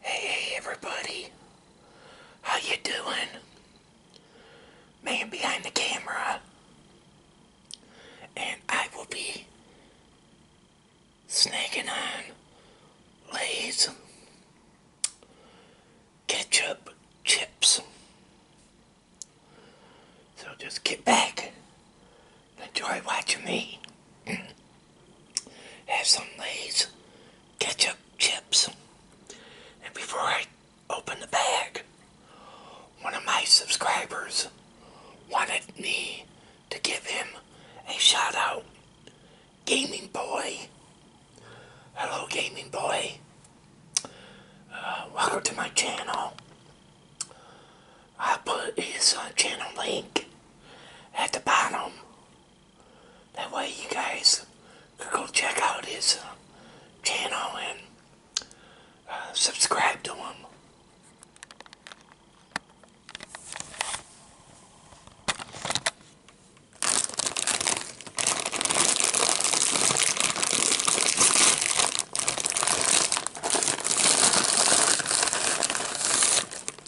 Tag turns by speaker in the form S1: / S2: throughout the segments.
S1: Hey everybody, how you doing? Man behind the camera, and I will be snacking on Lay's ketchup chips. So just get back, enjoy watching me mm. have some Lay's ketchup chips. And before I open the bag, one of my subscribers wanted me to give him a shout out. Gaming Boy. Hello, Gaming Boy. Uh, welcome to my channel. I'll put his uh, channel link at the bottom. That way you guys could go check out his uh, channel and uh, subscribe to him.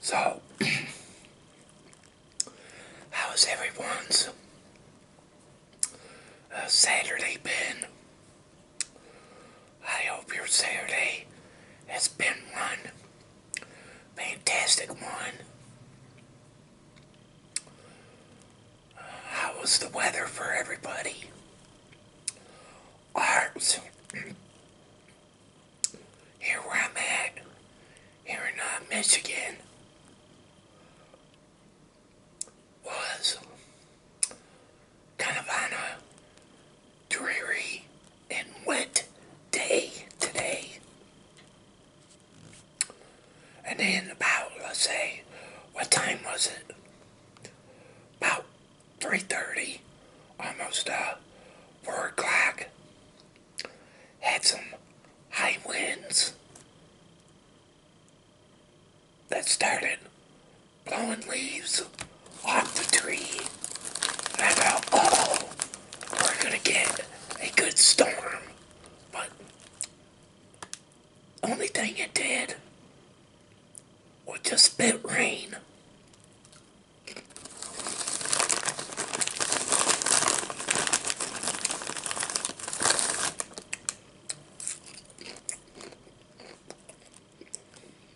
S1: So, how's everyone's uh, Saturday been? I hope your Saturday has been one fantastic one. how was the weather for everybody? Ours, here where I'm at, here in uh, Michigan, was kind of on a dreary and wet day today. And then about, let's say, what time was it? About 3.30, almost uh, 4 o'clock. Had some high winds that started blowing leaves off the tree. And I thought, oh, we're going to get a good storm. But only thing it did was just spit rain.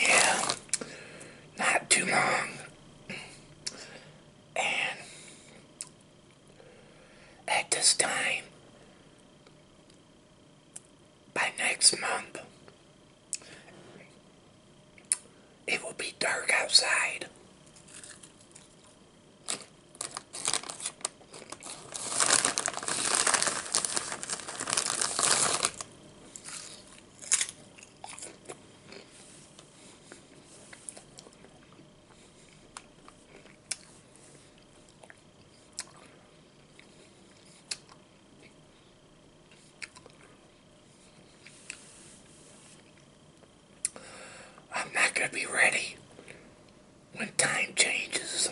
S1: Yeah, not too long. And at this time, by next month, it will be dark outside. I'm not going to be ready when time changes.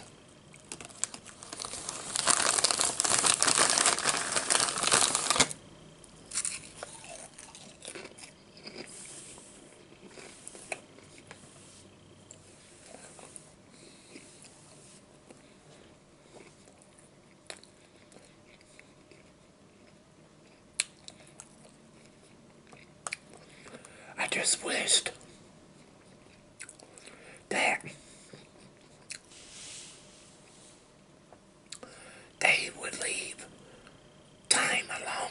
S1: I just wished that they would leave time alone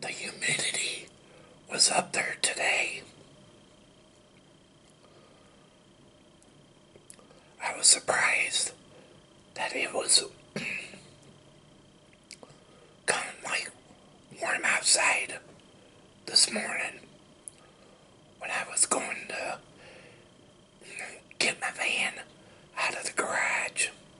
S1: the humidity was up there today. I was surprised that it was kind of like warm outside this morning when I was going to get my van out of the garage.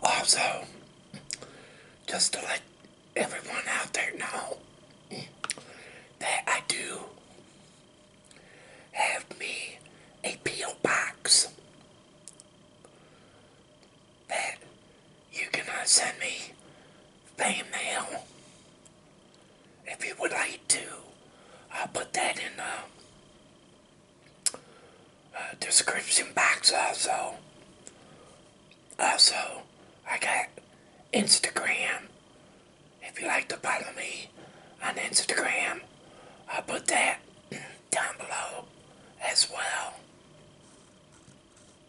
S1: Also, just to let everyone out there know that I do have me a P.O. box that you can send me fan mail if you would like to I'll put that in the uh, uh, description box also. Also, I got Instagram. If you like to follow me on Instagram, I'll put that down below as well.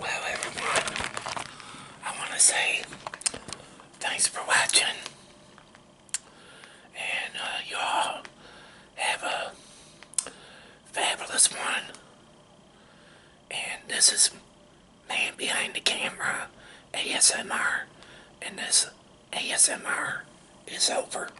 S1: Well, everyone, I want to say thanks for watching. And uh, y'all have a fabulous one. And this is Man Behind the Camera ASMR. And this ASMR is over.